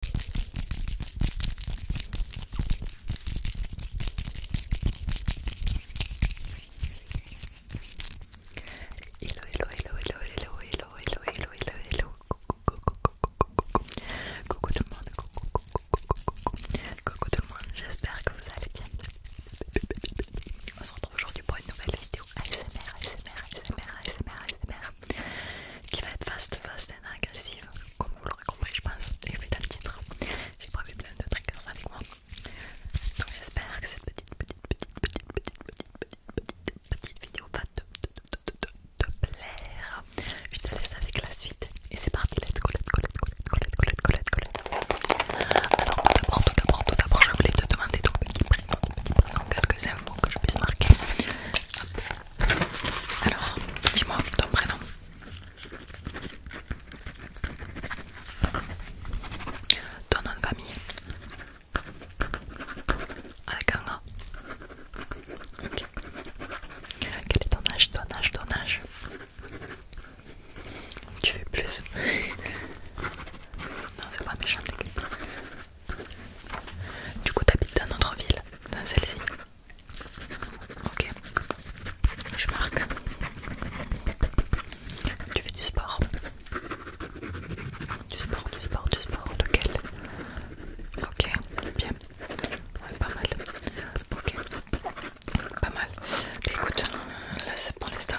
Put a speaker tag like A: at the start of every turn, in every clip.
A: Hello, hello, hello, hello, hello, hello, hello, hello, hello, Coucou tout le monde, coucou, tout le monde, j'espère que vous allez bien. On se retrouve aujourd'hui pour une nouvelle vidéo SMR SMR SMR SMR SMR qui va être agressive, comme vous l'aurez compris, je pense, et vu dans le titre, j'ai prévu plein de triggers avec moi. Donc j'espère que cette petite, petite, petite, petite, petite, petite, petite, petite petite vidéo va te, te, te, te, te, te plaire. Je te laisse avec la suite, et c'est parti, let's go, let's go, let's go, let's go, let's go, let's go, let's go. Alors tout d'abord, tout d'abord, tout d'abord, je voulais te demander ton petit prénom, petit prénom, quelques infos que je puisse marquer. Alors, dis-moi ton prénom. Ton nom de famille. Avec un Ok. Quel est ton âge, ton âge, ton âge Tu veux plus. non, c'est pas méchant. Du coup, t'habites dans notre ville, dans celle-ci. Ok, je marque. Tu fais du sport. Du sport, du sport, du sport. de quel Ok, bien. pas mal. Ok, pas mal. écoute, là c'est pour l'instant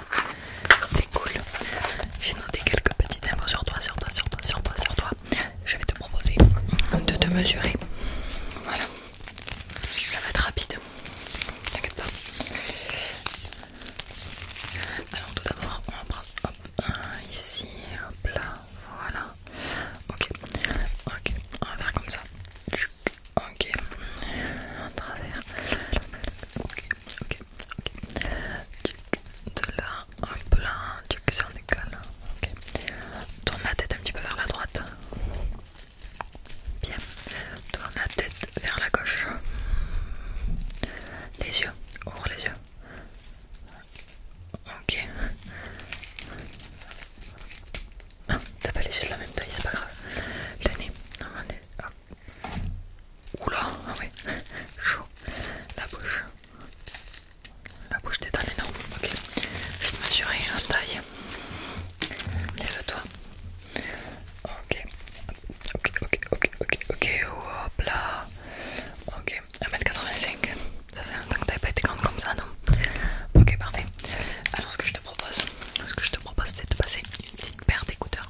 A: c'est cool. J'ai noté quelques petites infos sur toi, sur toi, sur toi, sur toi, sur toi. Je vais te proposer de te mesurer. Voilà, ça va être rapide. T'inquiète pas. Alors, tout d'abord, on va prendre hop, ici, hop là, voilà. Ok, ok, on va faire comme ça. Ok, en travers. Ok, ok, ok. De là, en là, duc c'est en Ok. Tourne la tête un petit peu vers la droite. Bien. Tourne la tête vers la gauche. Les yeux. Ouvre les yeux. Ok. Ah, t'as pas les yeux de la même taille, c'est pas grave. Le nez. Non, on Oula, ah ouais, chaud. La bouche. La bouche dans les énorme. Ok. Je vais te mesurer en taille. Lève-toi. Ok. Ok, ok, ok, ok, ok. Hop là. Ok. 1m85. Ça fait un temps que t'avais pas été grande comme ça, non Ok, parfait. Alors ce que je te propose, ce que je te propose c'est de passer une petite paire d'écouteurs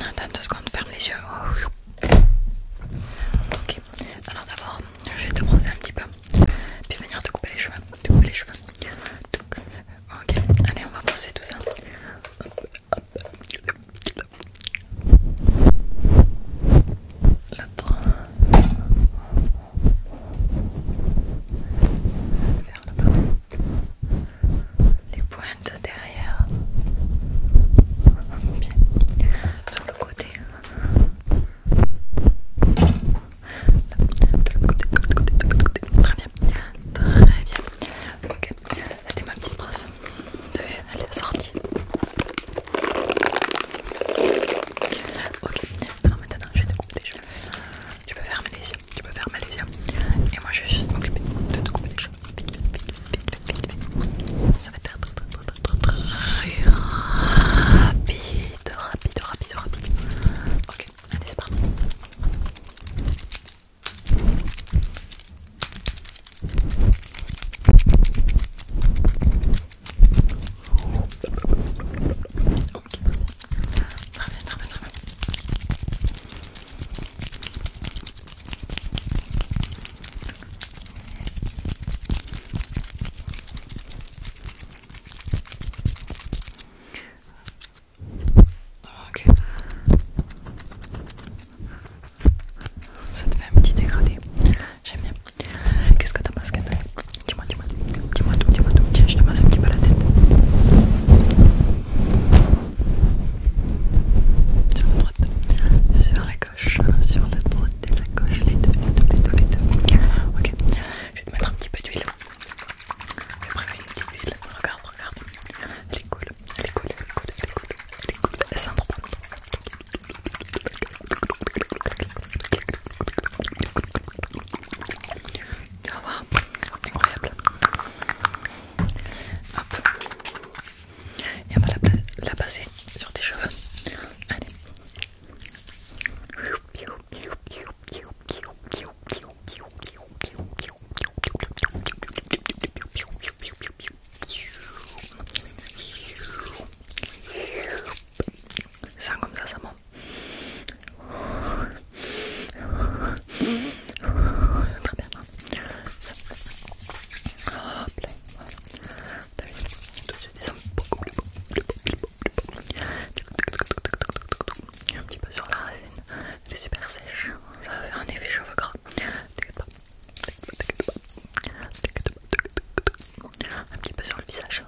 A: attends deux secondes, ferme les yeux. Ok, alors d'abord, je vais te brosser un petit peu, puis venir te couper les cheveux. couper les cheveux. Ok, allez, on va brosser tout ça. Hop, L'autre les pointes derrière, sur le côté. côté, côté, Très bien, très bien. Ok, c'était ma petite brosse. Elle est sortie. Ok, alors maintenant je vais te couper. Je... Tu peux fermer les yeux tu peux faire les yeux et moi je vais juste m'occuper de te couper les cheveux. Ça va être très rapide, rapide, rapide, rapide. Ok, allez c'est parti. Ok. Ça te fait un petit dégradé. J'aime bien. Qu'est-ce que t'as basket Dis-moi, dis-moi, dis-moi tout, dis-moi tout. Tiens, je te masse un petit peu la tête. Sur la droite, sur la gauche, sur la droite et la gauche, les deux, les deux, les deux, les deux. Ok, je vais te mettre un petit peu d'huile. Après une petite huile. Regarde, regarde. Elle est cool, elle est cool, elle est cool, elle est cool, elle est cool. Elle est cool. Il va voir. Incroyable. Hop. Et on va la, la passer sur tes cheveux. Allez. Ça comme ça, ça m'en Très bien. ça là, voilà. T'as vu Tout de suite, beaucoup plus Un petit peu sur la racine. Elle est super sèche. Ça va faire un effet cheveux gras. T'inquiète pas. T'inquiète pas un petit peu sur le visage.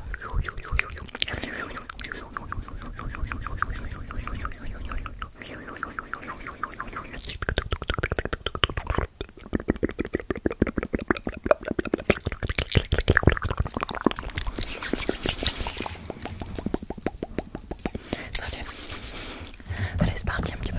A: Allez, c'est parti un petit peu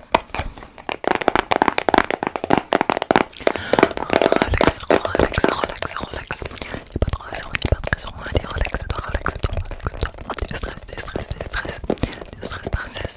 A: Relax, relax, relax, relax. Il a pas de relation, il a pas de pression. Allez, relaxe-toi, relaxe-toi, stress stress stress stress stress par princesse.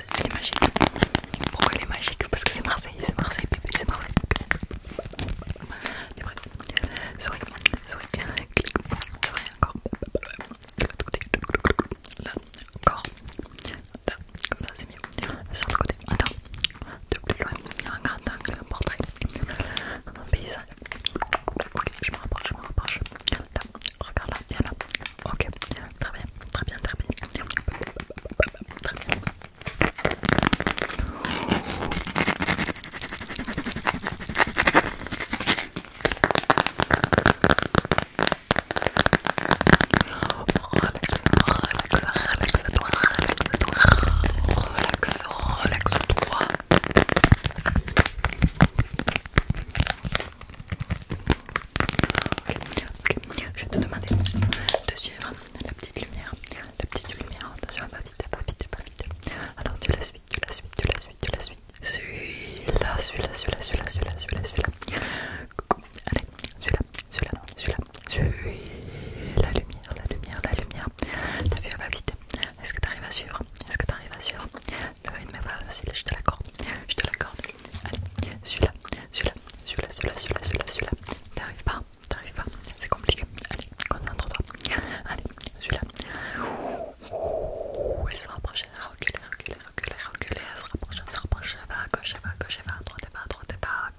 A: Marseille, il est magique. Pourquoi il est magique Parce que c'est Marseille, c'est Marseille, bébé, c'est Marseille. C'est vrai. Souris, souris, clic, souris, encore. Là, encore. comme ça c'est mieux. Sur le côté, attends. De plus loin, un grand angle, un portrait. Un paysage. Ok, je me rapproche, je me rapproche. Là, regarde là, viens là. Ok, très bien, très bien, très bien. relax, relaxe-toi, relaxe-toi, toi relaxe toi toi je vais te demander de suivre la petite lumière. La petite lumière, attention, pas vite, pas vite, pas vite. Alors tu la suis, tu la suis, tu la suis, tu la suis. Celui-là, celui-là, celui-là, celui-là, celui-là, celui-là, Coucou, Allez, celui-là, celui-là, celui-là, celui La lumière, la lumière, la lumière. T'as vu, elle va vite. Est-ce que arrives à suivre Est-ce que tu arrives à suivre le rythme est facile, je te l'accorde. Je te l'accorde. Allez, celui-là, celui-là, celui-là, celui-là, celui-là, celui-là. Celui t'arrives pas, t'arrives pas. C'est compliqué. Allez, concentre-toi. Allez, celui-là. Elle se rapproche, elle reculer, reculer, reculer, reculer. Elle se rapproche, elle se rapproche. Elle va à gauche, va gauche, elle va à droite, et pas, à droite, et pas,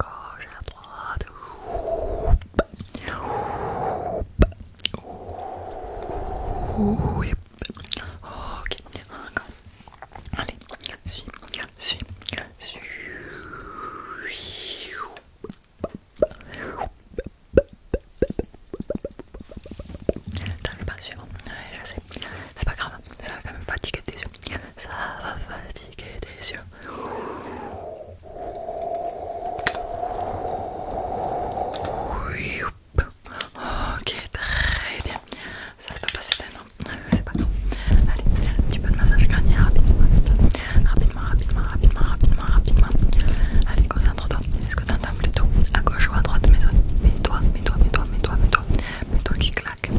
A: à gauche, à droite. Ok, encore. Allez, suis, suis, suis. T'arrives pas à suivre, suivant. je sais. C'est pas grave, ça va quand même fatiguer tes yeux. Ça va fatiguer tes yeux. Ok, très bien. Ça ne peut passer non non. C'est pas non. Allez, un petit peu de massage crânien rapidement. Rapidement, rapidement, rapidement, rapidement, rapidement. Allez, concentre-toi. Est-ce que tu entends plutôt à gauche ou à droite mes Mets-toi, mets-toi, mets-toi, mets-toi, mets-toi. Mets-toi qui claque.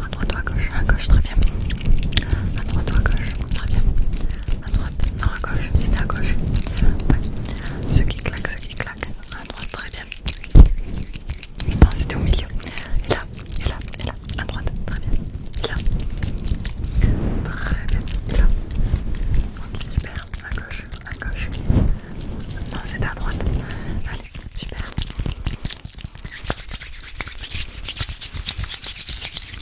A: À droite ou à gauche À gauche, très bien. À droite ou à gauche Très bien non à gauche, c'était à gauche. ce qui claque ce qui claque à droite, très bien. Non, c'était au milieu. Et là, et là, et là, à droite, très bien. Et là, très bien. Et là, ok, super, à gauche, à gauche. Non, c'était à droite. Allez, super.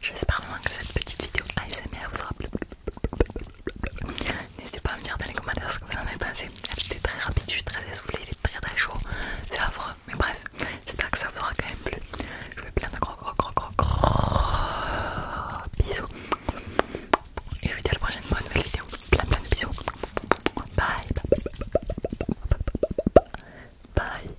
A: J'espère vraiment que cette petite vidéo ASMR vous aura plu. N'hésitez pas à me dire dans les commentaires ce que vous en avez pensé. C'était très rapide, je suis très essoufflée, il est très très chaud. C'est affreux, mais bref, j'espère que ça vous aura quand même plu. Je vous fais plein de gros gros gros gros gros bisous. Et je vous dis à la prochaine pour une nouvelle vidéo. Plein plein de bisous. Bye. Bye.